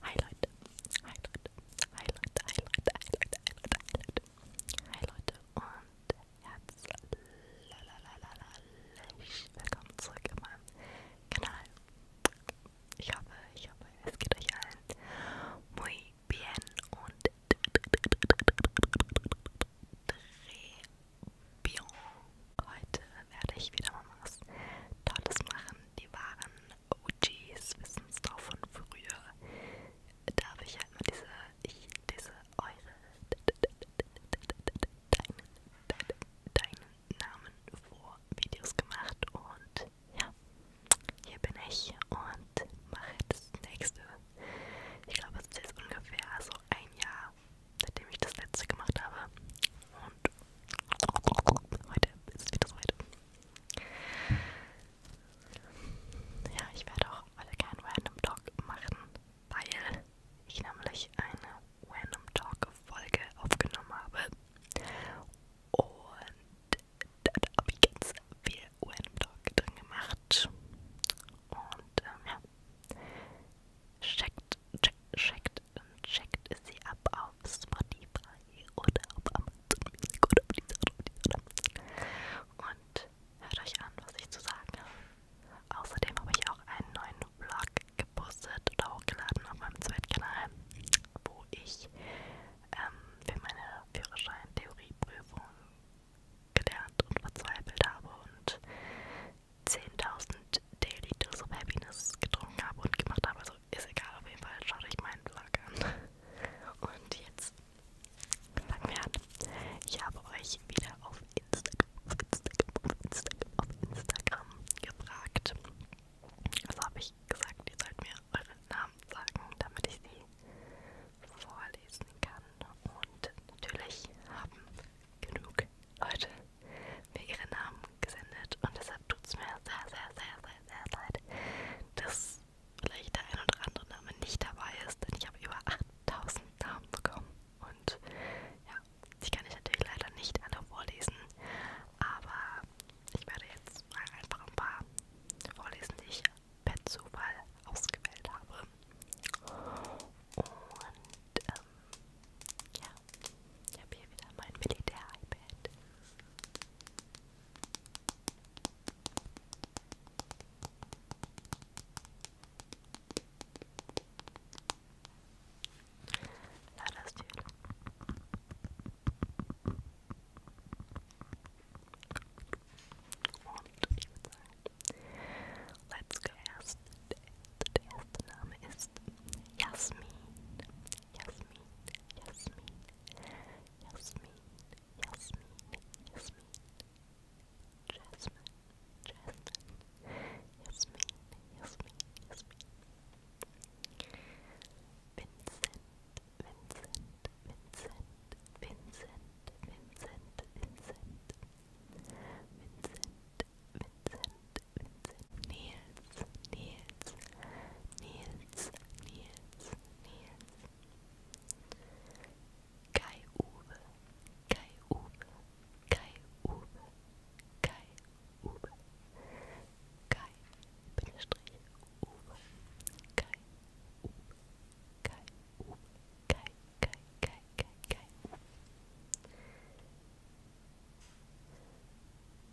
highlight, highlight, highlight, highlight, highlight, highlight, highlight und herzlich willkommen zurück in Kanal. Ich hoffe, ich hoffe, es geht euch allen muy bien und bien. Heute werde ich wieder mal was Tolles machen. Die waren OGs, wissen es doch von früher. Da habe ich halt mal diese, ich, diese, eure, deinen, deinen Namen vor Videos gemacht und ja, hier bin ich und mache das nächste. Ich glaube, es ist jetzt ungefähr so ein Jahr, seitdem ich das letzte gemacht habe. Und heute ist es wieder soweit. Ja, ich werde auch heute keinen Random Talk machen, weil ich nämlich eine Random Talk Folge aufgenommen habe. Und da habe ich ganz viel Random Talk drin gemacht. Und ähm, ja, checkt, check, checkt und checkt sie ab auf Spotify oder auf Amazon Music oder auf dieser oder auf dieser. Und hört euch an, was ich zu sagen habe. Außerdem habe ich auch einen neuen Vlog gepostet oder hochgeladen auf meinem Zweitkanal, wo ich ähm, für meine Führerschein-Theorieprüfung gelernt und verzweifelt habe und 10.000 Daily Dose of Happiness getrunken habe und gemacht habe. Also ist egal, auf jeden Fall schaue ich meinen Vlog an. Und jetzt fangen wir an. Ich habe euch wieder auf Instagram, auf Instagram, auf Instagram, auf Instagram gefragt. Also habe ich gesagt, ihr sollt mir euren Namen sagen, damit ich sie vorlesen kann. Und natürlich haben genug Leute mir ihre Namen gesendet und deshalb tut es mir sehr, sehr, sehr, sehr, sehr leid, dass vielleicht der ein oder andere Name nicht dabei ist, denn ich habe über 8000 Namen bekommen und ja, die kann ich natürlich leider nicht alle vorlesen, aber ich werde jetzt mal einfach ein paar vorlesen, die ich per Zufall ausgewählt habe. Und ähm, ja, ich habe hier wieder mein Militär-iPad. Na, das Tür. Und let's go erst. Name ist Jasmin. Yasmin, Yasmin, Yasmin, Yasmin, Yasmin, Jasmine, Jasmine, Yasmin, Yasmin, Yasmin. Vincent, Vincent, Vincent, Vincent, Vincent, Vincent, Vincent, Vincent, Vincent, Vincent, Nils, Nils, Nils, Nils, Nils. Kai Uwe, Kai Uwe, Kai Uwe, Kai Uwe. Kai, Bindestrich, Uwe, Kai Uwe, Kai Uwe, Kai, Kai, Kai, Kai, Kai, Kai.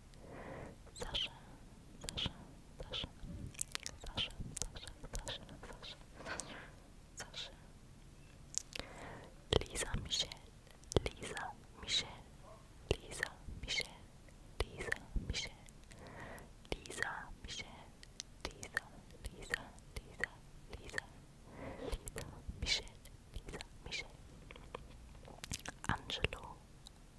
Sasha, Sasha, Sasha, Sasha, Sasha, Sasha, Sasha, Sasha, Lisa Michelle, Lisa Michelle, Lisa Michelle, Lisa Michelle, Lisa Michelle, Lisa, Lisa, Lisa, Lisa, Lisa Michelle, Lisa Michelle, Angelo.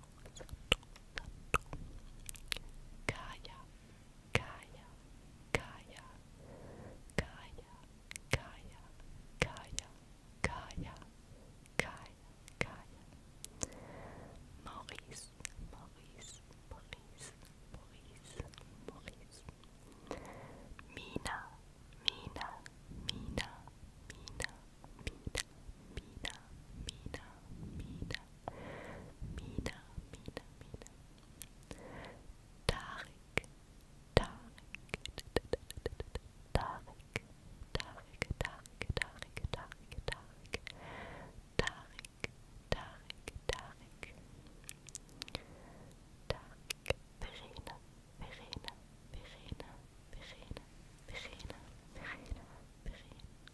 Santo, Santo, Santo. Kaya, Kaya, Kaya, Kaya, Kaya, Kaya, Kaya, Maurice, Maurice, Maurice, Maurice, Maurice. Mina, Mina, Mina, Mina, Mina, Mina, Mina, Mina, Mina, Mina, Mina. Tarek, Tarek, Tarek, Tarek, Tarek, Tarek, Tarek, Tarek, Tarek, Tarek, Tarek. Tarek, Verena, Verena, Verena, Verena, Verena, Verena, Verena, Verena.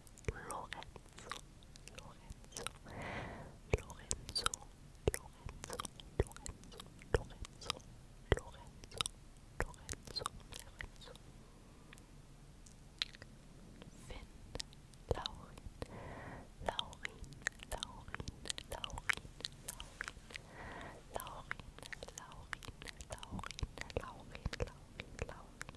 Lorenzo, Lorenzo, Lorenzo, Lorenzo, Lorenzo, Lorenzo, Lorenzo, Lorenzo, Lorenzo. Finn, Laurin, Laurin, Laurin, Laurin, Laurin, Laurin, Laurin, Laurin, Laurin, Laurin, Laurin,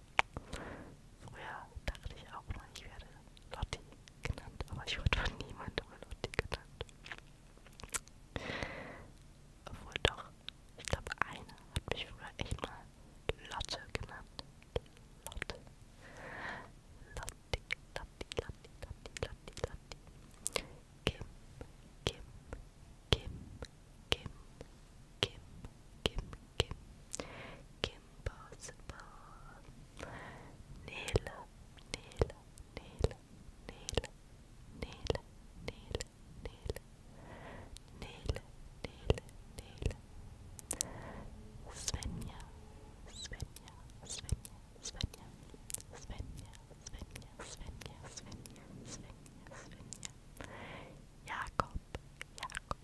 Früher dachte ich auch mal, ich werde Lotti genannt, aber ich wurde von niemandem Lotti genannt. Obwohl doch, ich glaube, einer hat mich früher echt mal Lotte genannt. Lotte. Lotti, Lotti, Lotti, Lotti, Lotti, Lotti. Kim, Kim, Kim, Kim, Kim, Kim, Kim, Kim Possible, Nila, Nila, Nila, Nila, Nila, Nila, Nila, Nila, Nila, Nila, Svenja, Svenja, Svenja, Svenja, Svenja, Svenja, Svenja, Svenja, Svenja, Svenja, Jakob, Jakob,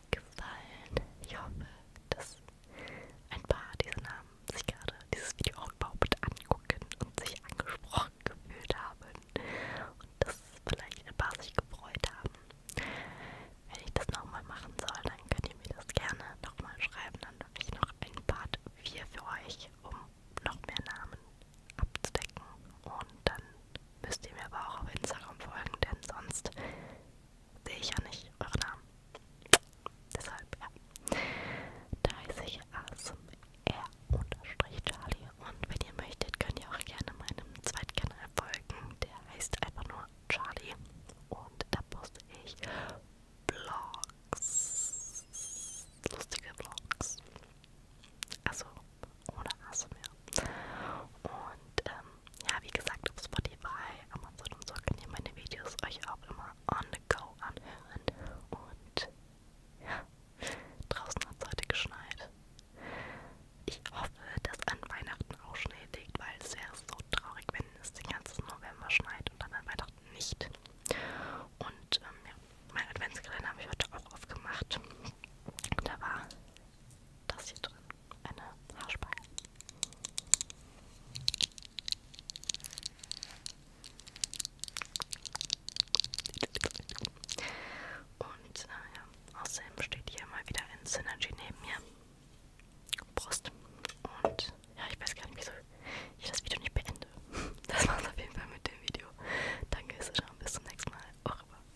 euch gefallen. Ich hoffe, dass ein paar dieser Namen sich gerade dieses Video auch überhaupt angucken und sich angesprochen gefühlt haben und dass vielleicht ein paar sich gefreut haben. Wenn ich das nochmal machen soll, dann könnt ihr mir das gerne nochmal schreiben. Dann habe ich noch ein Part 4 für euch, um noch mehr Namen abzudecken und dann Müsst ihr mir aber auch auf Instagram folgen, denn sonst sehe ich ja nicht eure Namen. Deshalb, ja. Da heiße ich ASMR-Charlie und wenn ihr möchtet, könnt ihr auch gerne meinem Zweitkanal folgen. Der heißt einfach nur Charlie und da poste ich Vlogs. Lustige Vlogs. Also ohne ASMR. Und ähm, ja, wie gesagt, auf Spotify, Amazon und so könnt ihr meine Videos euch auch immer on the go anhören. Und ja, draußen hat es heute geschneit. Ich hoffe, dass an Weihnachten auch Schnee liegt, weil es wäre so traurig, wenn es den ganzen November schneit und dann an Weihnachten nicht. Und ähm, ja, mein Adventskalender habe ich heute auch aufgemacht. Da war das hier drin, eine Haarspange. Und naja, äh, außerdem steht hier mal wieder ein Synergy neben mir. Brust. Und ja, ich weiß gar nicht, wieso ich das Video nicht beende. Das war's auf jeden Fall mit dem Video. Danke, es schon. Bis zum nächsten Mal. Au revoir.